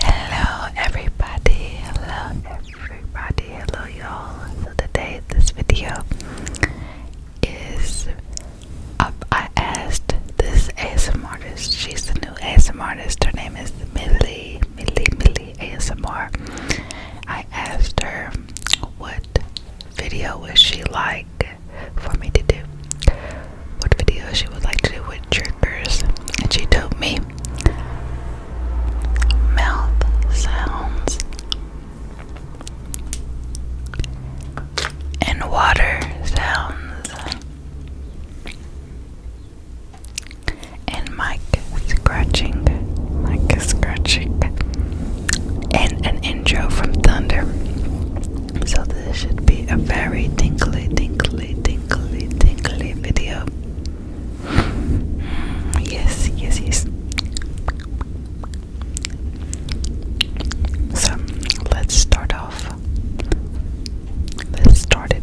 Hello everybody, hello everybody, hello y'all. So today this video is up. I asked this ASM artist, she's the new ASM artist, her name is Millie, Millie, Millie ASMR. I asked her what video would she like for me to do what video she would like to do with triggers, and she told me mouth sounds and water sounds and mic scratching, mic scratching, and an intro from Thunder. So this should be a very tingly, tingly, tingly tingly, tingly video. Yes, yes, yes. So let's start off. Let's start it.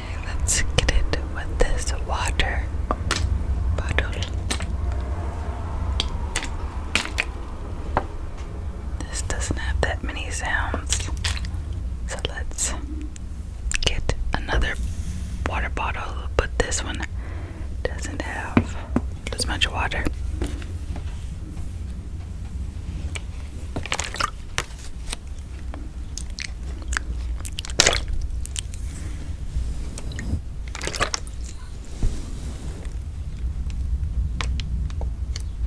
Okay, let's get it with this water bottle. This doesn't have that many sounds. So let's get another water bottle, but this one doesn't have as much water.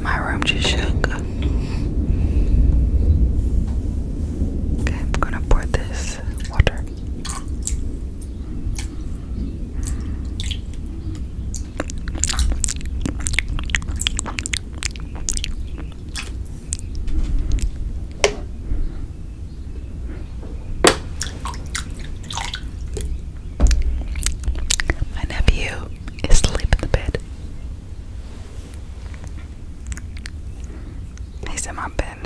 My room just shook. Okay, I'm gonna pour this water. My nephew is asleep in the bed. He's in my bed.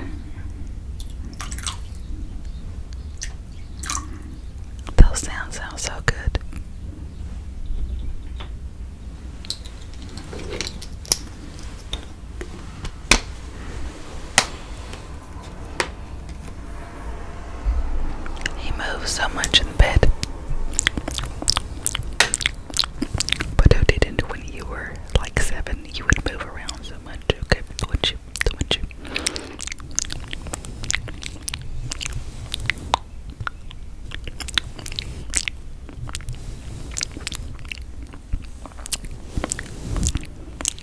Those sounds sound so good. He moves so much in the bed. But who didn't when you were like seven? You would move around so much, okay? Wouldn't you? would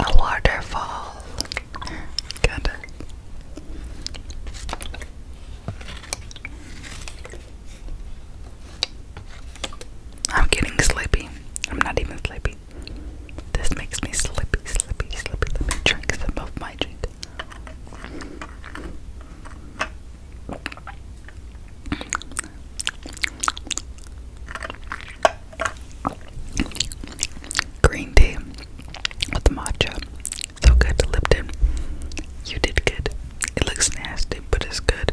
A waterfall. Good. I'm getting sleepy. I'm not even sleepy. This makes me sleepy, sleepy, sleepy. Let me drink some of my drink. Green tea with the matcha. So good, Lipton. You did good. It looks nasty, but it's good.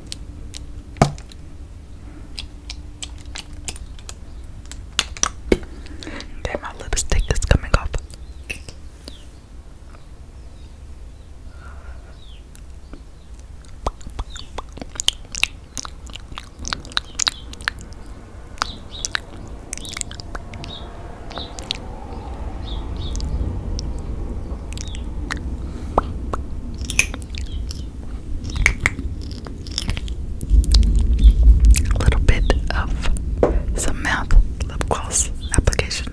Okay, my lipstick is coming off. A little bit of some mouth lip gloss application.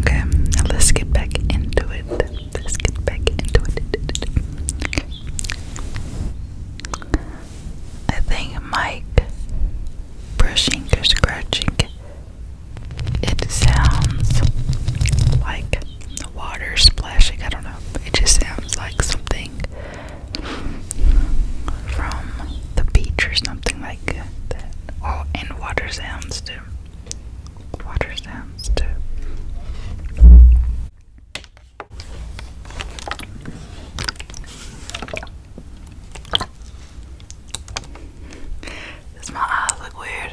Okay, now let's get back into it. Let's get back into it. I think Mike brushing or scratching it sounds like the water splashing. I don't know. It just sounds like something from the beach or something like that. Oh, and water sounds too. Water sounds too. Does my eyes look weird?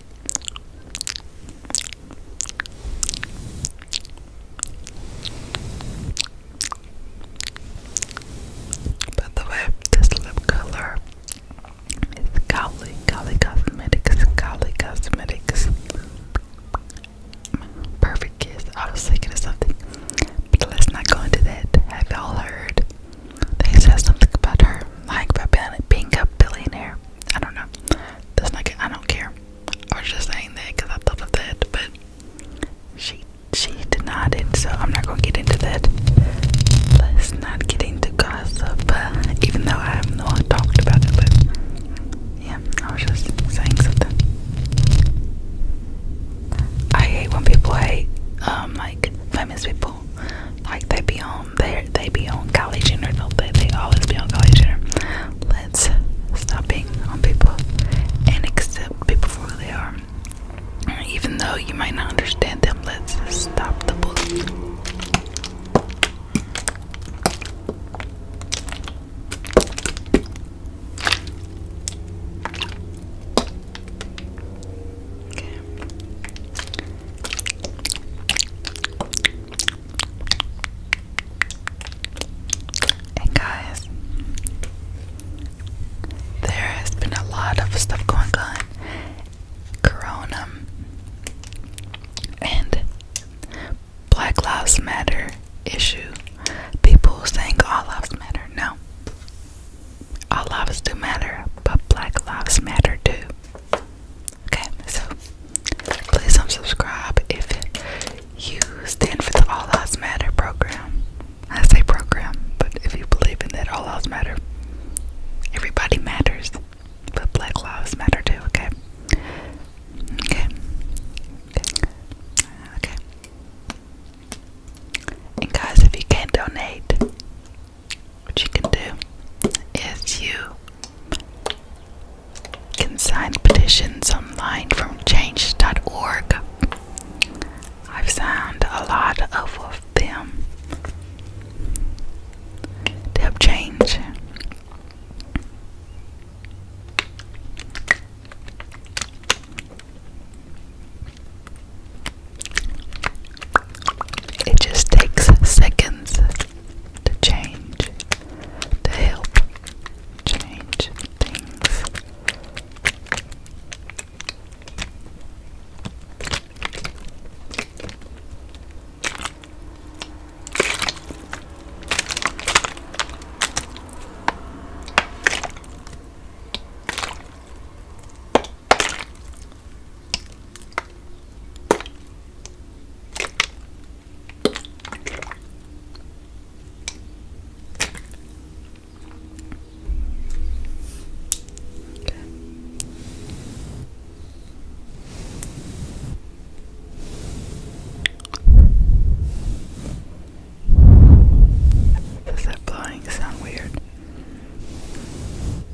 By the way, this lip color is Cowley, Cowley Cosmetics, Cowley Cosmetics. Perfect kiss. I was thinking of something, but let's not go into that. Have y'all heard they said something about her, like about being a billionaire. I don't know. That's not. I don't care. I was just saying that because I thought of that, but she she denied it, so I'm not gonna get into that. Let's not get into gossip, uh, even though I have no one talked about it. But yeah, I was just saying something. I hate when people hate um like famous people like they be on there, they be on college dinner. they they always be on college dinner. Let's stop being on people and accept people for who they are. Even though you might not understand them, let's stop the bullying. And guys, there has been a lot of stuff going on. Corona and Black Lives Matter issue. People saying all lives matter. No. All lives do matter, but black lives matter too. Okay, so please unsubscribe if you stand for the All Lives Matter program. I say program, but if you believe in that, all lives matter. Everybody matters, but Black Lives Matter too. Okay. Okay. Okay. And guys, if you can donate, what you can do is you can sign petitions online from change.org. I've signed a lot of, them to have change. It just takes seconds to change, to help change things. Does that blowing sound weird?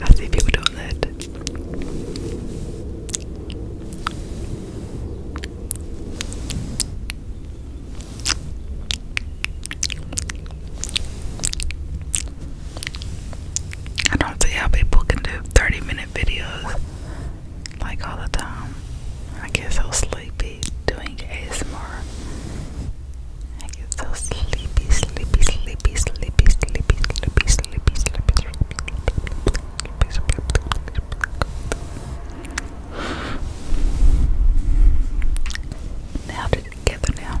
I see people doing that. I don't see how people can do 30 minute videos like all the time. I get so sleepy doing ASMR. I get so sleepy, sleepy, sleepy, sleepy, sleepy, sleepy, sleepy, sleepy, sleepy, sleepy. Now together now.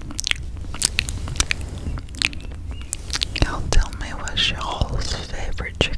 Y'all tell me what your all's favorite triggers.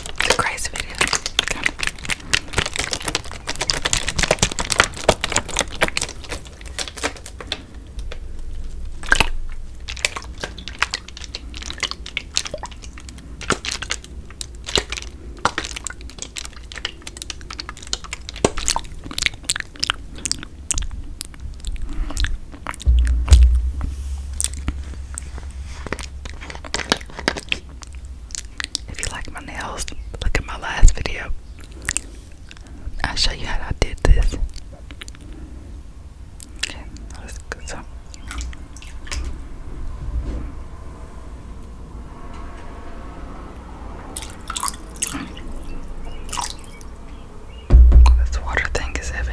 It's a crazy video. If you like my nails, look at my last video. I'll show you how I did this. Okay, let's go. So. water thing is heavy.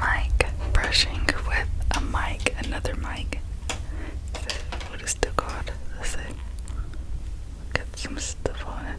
Mic brushing with a mic, another mic. What is it called? That's it. Got some stuff on it.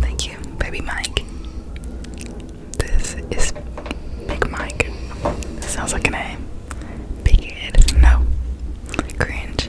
thank you, baby Mike. This is Big Mike. Sounds like a name. Big No. Cringe.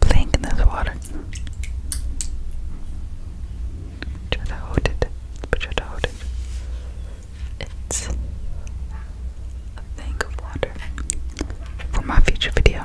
Blink in this water. Try to hold it. Try to hold it. It's a thing of water for my future video.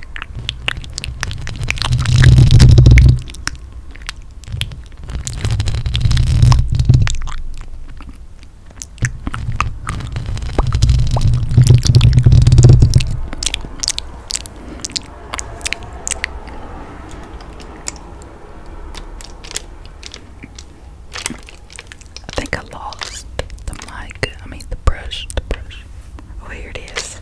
I think I lost the mic, I mean the brush, the brush. Oh, here it is.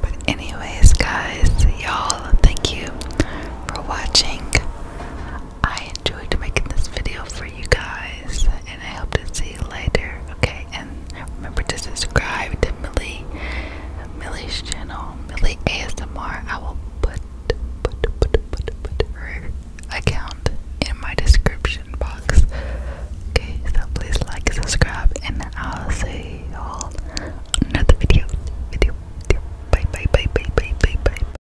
But, anyways, guys, y'all, thank you for watching. I enjoyed making this video for you guys, and I hope to see you later. Okay, and remember to subscribe to Millie, Millie's channel, Millie ASMR. I will put put put put put her account in my description box. Okay, so please like, subscribe, and I'll see y'all another video. Video. Bye bye bye bye bye bye bye.